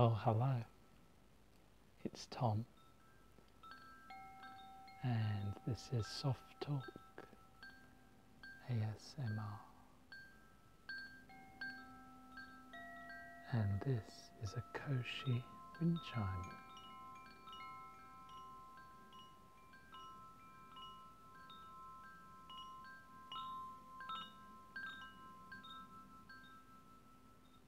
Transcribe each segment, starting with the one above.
Oh, hello it's Tom. And this is Soft Talk ASMR. And this is a Koshi wind chime.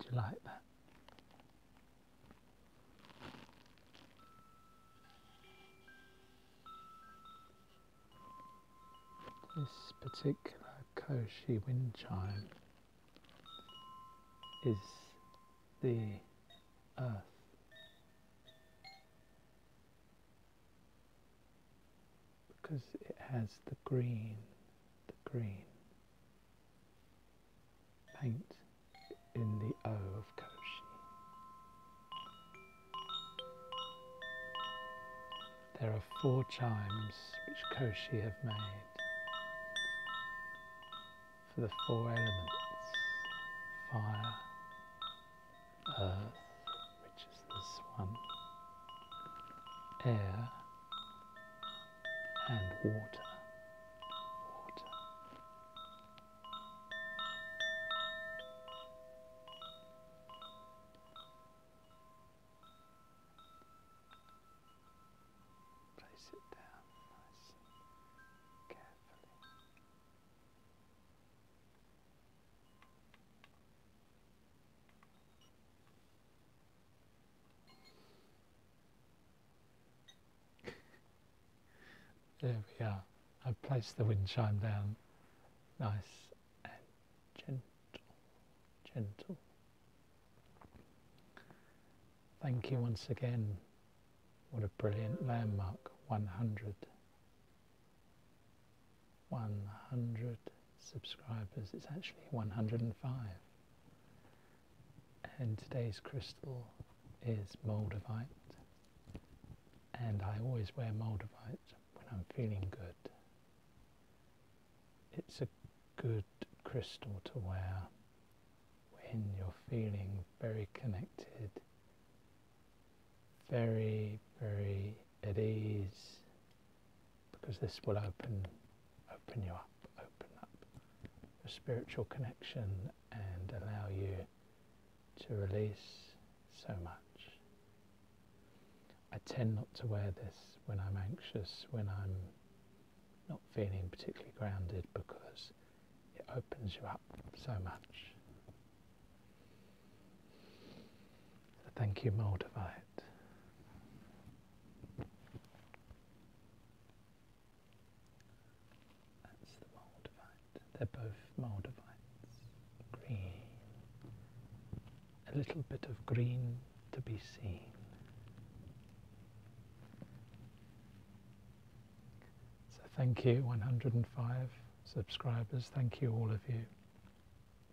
Did you like that? This particular Koshi wind chime is the earth. Because it has the green, the green paint in the O of Koshi. There are four chimes which Koshi have made for the four elements fire, earth, which is this one, air, and water. water. Place it down nice and carefully. there we are. I placed the wind chime down nice and gentle, gentle. Thank you once again. What a brilliant landmark. 100. 100 subscribers. It's actually 105. And today's crystal is moldavite. And I always wear moldavite when I'm feeling good. It's a good crystal to wear when you're feeling very connected, very, very at ease, because this will open, open you up, open up your spiritual connection and allow you to release so much. I tend not to wear this when I'm anxious, when I'm not feeling particularly grounded because it opens you up so much. So thank you, Moldavite. That's the Moldavite. They're both Moldavites. Green. A little bit of green to be seen. So thank you 105 subscribers, thank you all of you.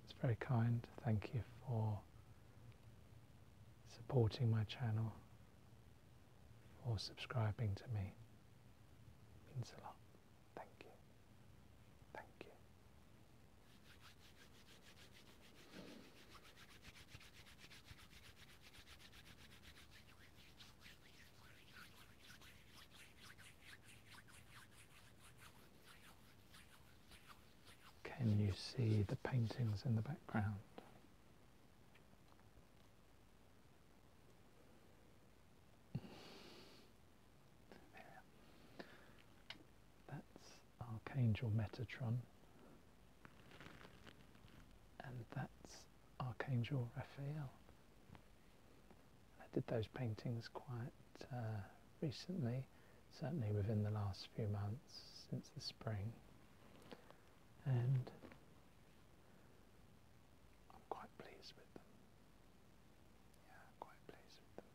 It's very kind, thank you for supporting my channel, for subscribing to me. means a lot. Thank you. Thank you. Can you see the paintings in the background? That's Archangel Metatron, and that's Archangel Raphael. I did those paintings quite uh, recently, certainly within the last few months since the spring, and I'm quite pleased with them. Yeah, quite pleased with them.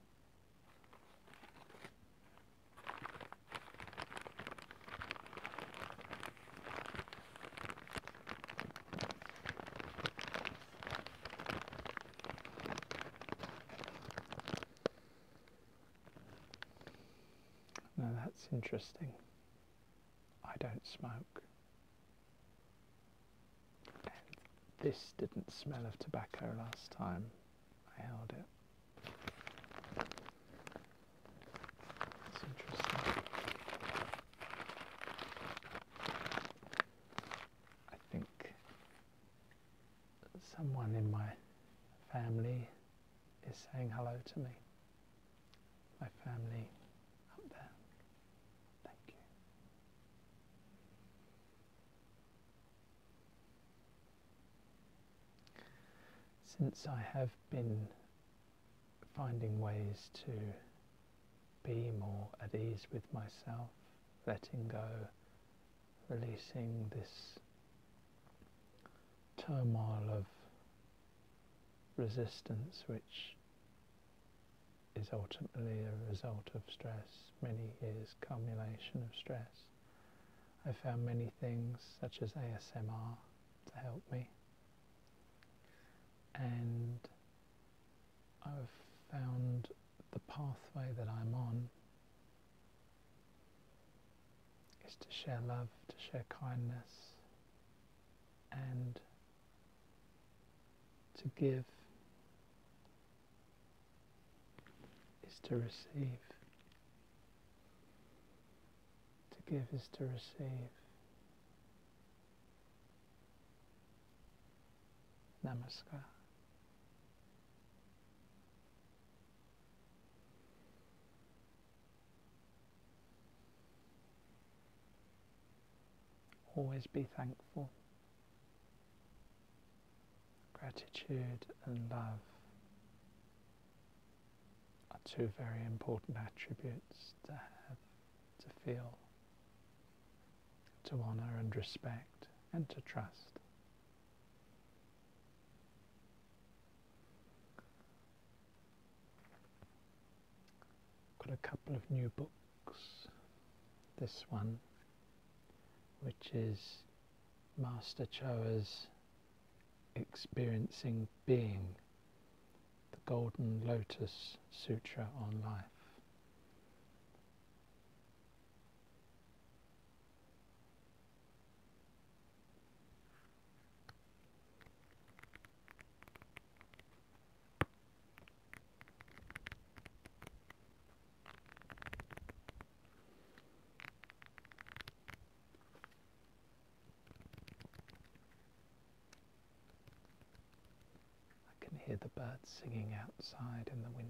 Now that's interesting. I don't smoke. this didn't smell of tobacco last time. I held it. That's interesting. I think someone in my family is saying hello to me. My family up there. Thank you. Since I have been finding ways to be more at ease with myself, letting go, releasing this turmoil of resistance, which is ultimately a result of stress, many years' accumulation of stress. I found many things such as ASMR to help me, and I've found the pathway that I'm on is to share love, to share kindness, and to give is to receive. To give is to receive. Namaskar. Always be thankful. Gratitude and love are two very important attributes to have, to feel, to honour and respect and to trust. Got a couple of new books. This one, which is Master Choa's Experiencing Being, the Golden Lotus Sutra on Life. I can hear the birds singing outside in the window.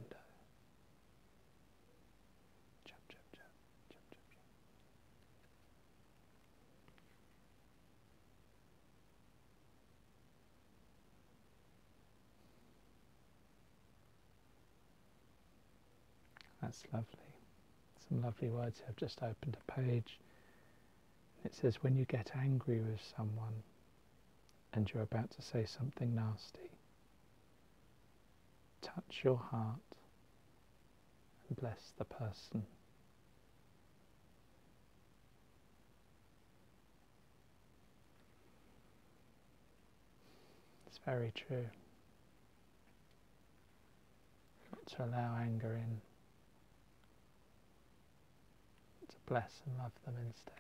That's lovely. Some lovely words. I've just opened a page. It says, when you get angry with someone and you're about to say something nasty, touch your heart and bless the person. It's very true. Not to allow anger in, to bless and love them instead.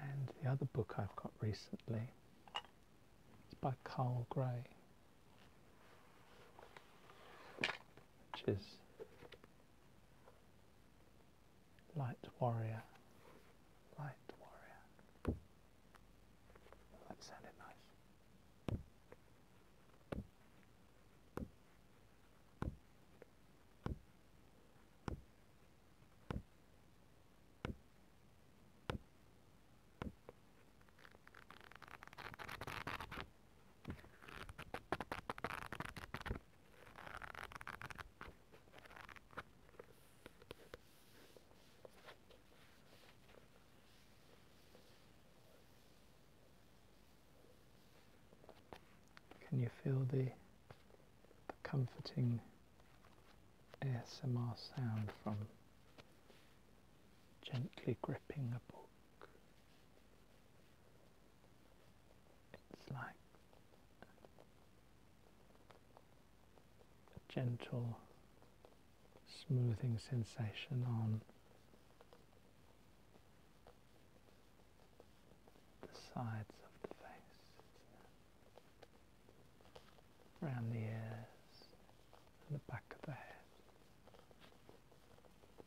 And the other book I've got recently is by Carl Gray which is light warrior, light warrior. That sounded nice. Can you feel the, comforting ASMR sound from gently gripping a ball? It's like a gentle smoothing sensation on the sides of the face, around the ears and the back of the head.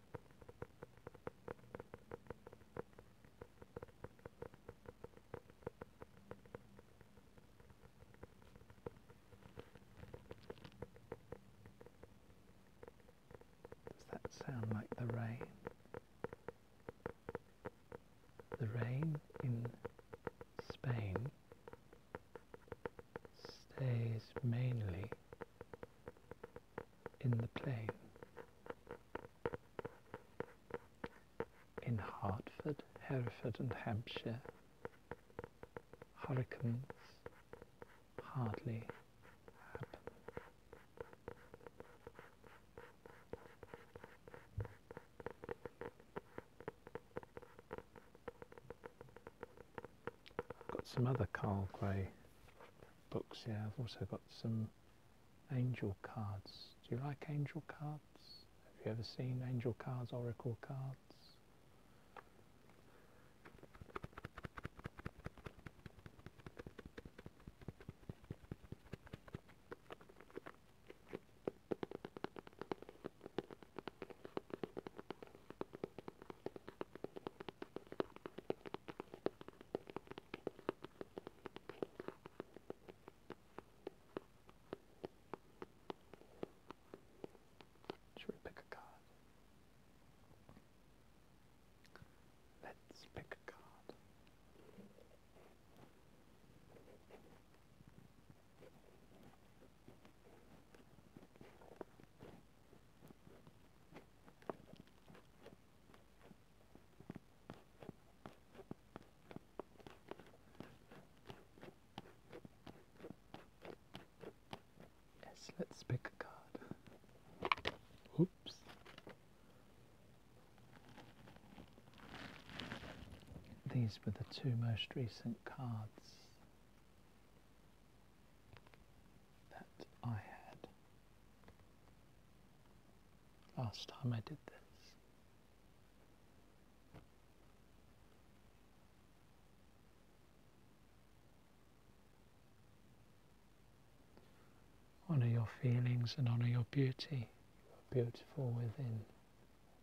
Does that sound like the rain? The rain in Spain stays mainly in the plain. In Hartford, Hereford, and Hampshire, hurricanes hardly happen. Got some other Carl Gray books here. I've also got some angel cards. Do you like angel cards? Have you ever seen angel cards, oracle cards? Should we pick a card? Let's pick a card. Yes, let's pick a card. Oops. These were the two most recent cards that I had last time I did this. Honour your feelings and honour your beauty. You are beautiful within.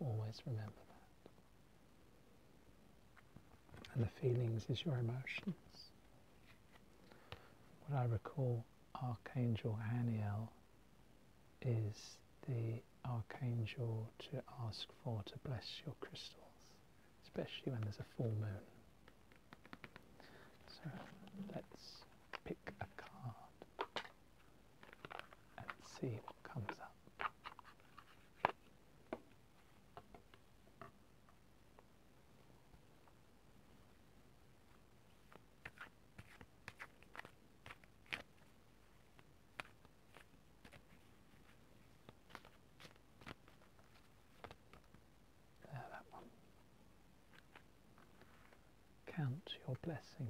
Always remember that and the feelings is your emotions. What I recall Archangel Aniel, is the archangel to ask for to bless your crystals, especially when there's a full moon. So let's pick a card and see what comes up. There, that one. Count your blessings.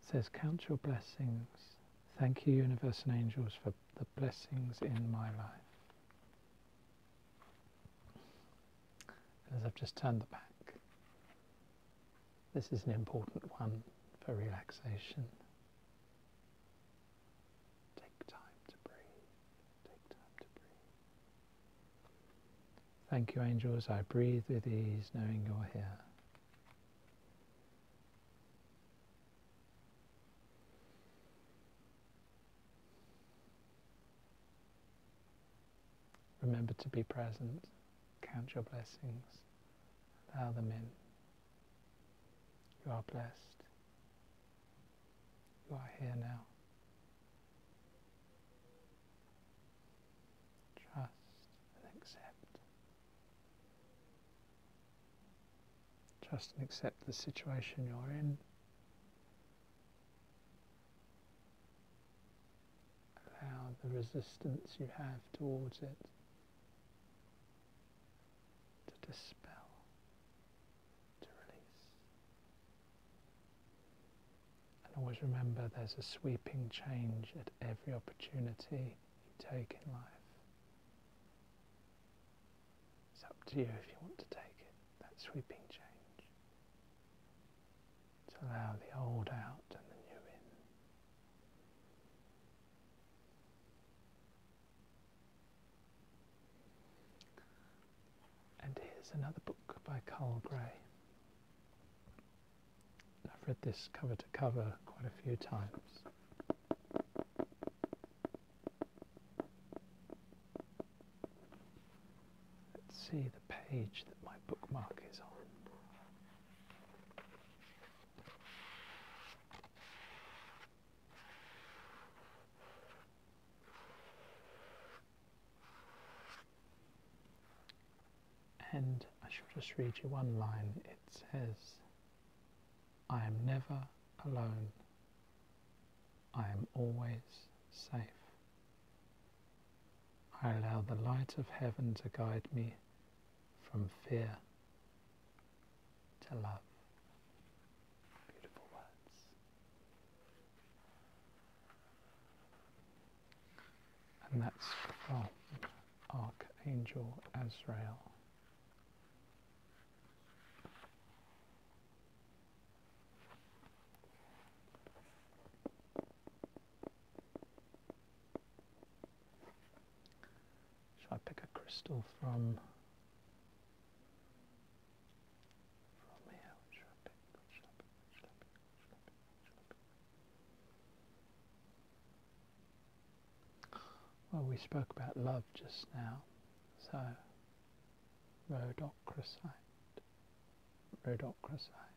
It says, Count your blessings. Thank you, universe and angels, for the blessings in my life. as I've just turned the back, this is an important one for relaxation. Take time to breathe. Take time to breathe. Thank you, angels. I breathe with ease knowing you're here. Remember to be present, count your blessings, allow them in. You are blessed. You are here now. Trust and accept. Trust and accept the situation you're in. Allow the resistance you have towards it to dispel, to release. And always remember there's a sweeping change at every opportunity you take in life. It's up to you if you want to take it, that sweeping change. To allow the old out and the new in. And here's another book by Carl Gray. I've read this cover to cover quite a few times. Let's see the page that my bookmark is on. And I shall just read you one line. It says, I am never alone. I am always safe. I allow the light of heaven to guide me from fear to love. Beautiful words. And that's from Archangel Azrael. Should I pick a crystal from Well, we spoke about love just now, so rhodochrosite, rhodochrosite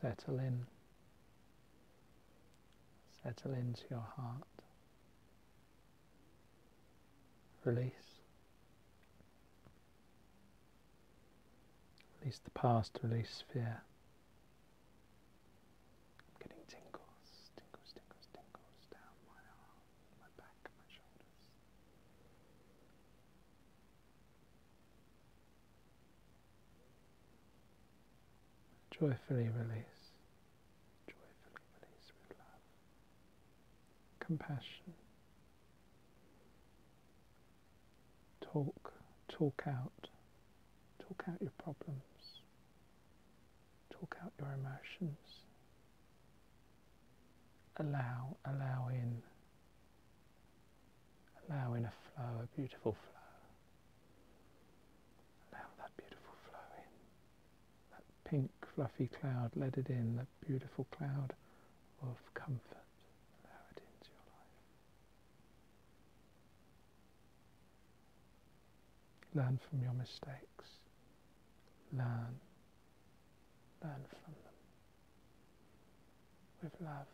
settle in, settle into your heart. Release. Release the past, release fear. Getting tingles, tingles, tingles, tingles down my arm, my back, my shoulders. Joyfully release joyfully release with love, compassion. Talk, talk out, talk out your problems, talk out your emotions. Allow, allow in, allow in a flow, a beautiful flow. Allow that beautiful flow in that pink fluffy cloud, let it in, that beautiful cloud of comfort. Allow it into your life. Learn from your mistakes. Learn. Learn from them. With love.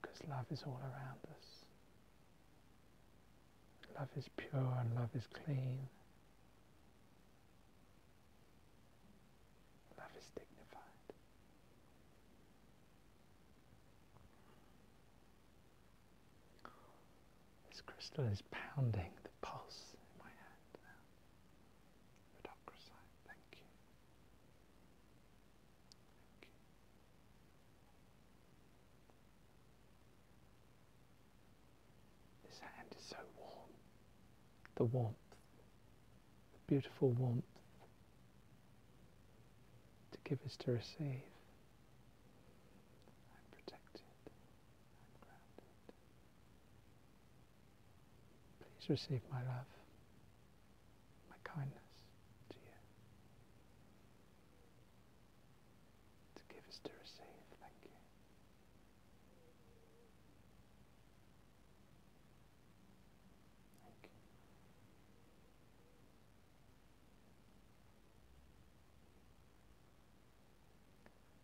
Because love is all around us. Love is pure and love is clean. Love is dignified. This crystal is pounding the pulse in my hand now. Medocracite, Thank you. This hand is so warm. The warmth, the beautiful warmth to give is to receive. I'm protected. I'm grounded. Please receive my love, my kindness to you to give is to receive. Thank you.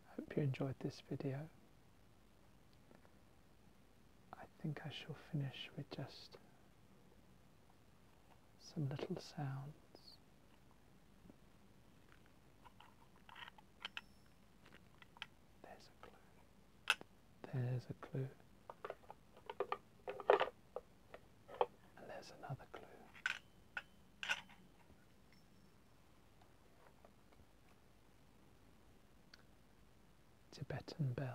I hope you enjoyed this video. I think I shall finish with just some little sounds. There's a clue. There's a clue. And there's another clue. Tibetan bells.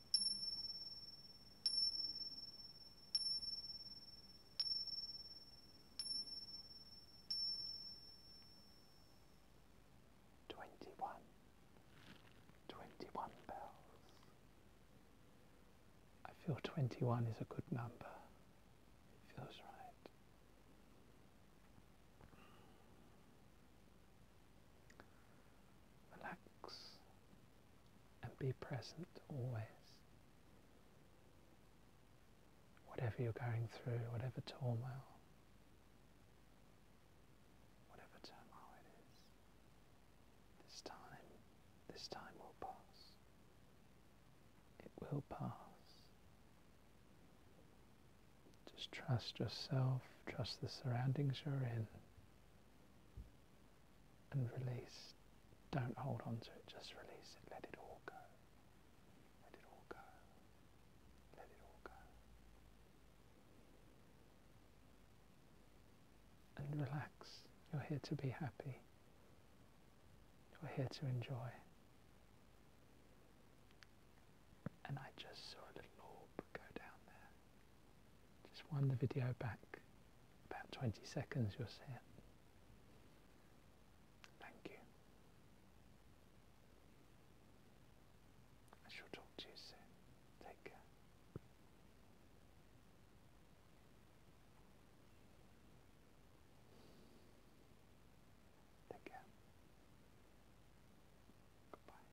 Twenty one, twenty one bells. I feel twenty one is a good number. feels right. Relax, and be present always. Whatever you're going through, whatever turmoil, whatever turmoil it is, this time, this time will pass. It will pass. Just trust yourself, trust the surroundings you're in and release. Don't hold on to it, just release it. Let it all go. Let it all go. Let it all go. And relax. You're here to be happy. You're here to enjoy. And I just saw a little orb go down there. Just wind the video back about 20 seconds, you'll see it. Thank you. I shall talk to you soon. Take care. Take care. Goodbye.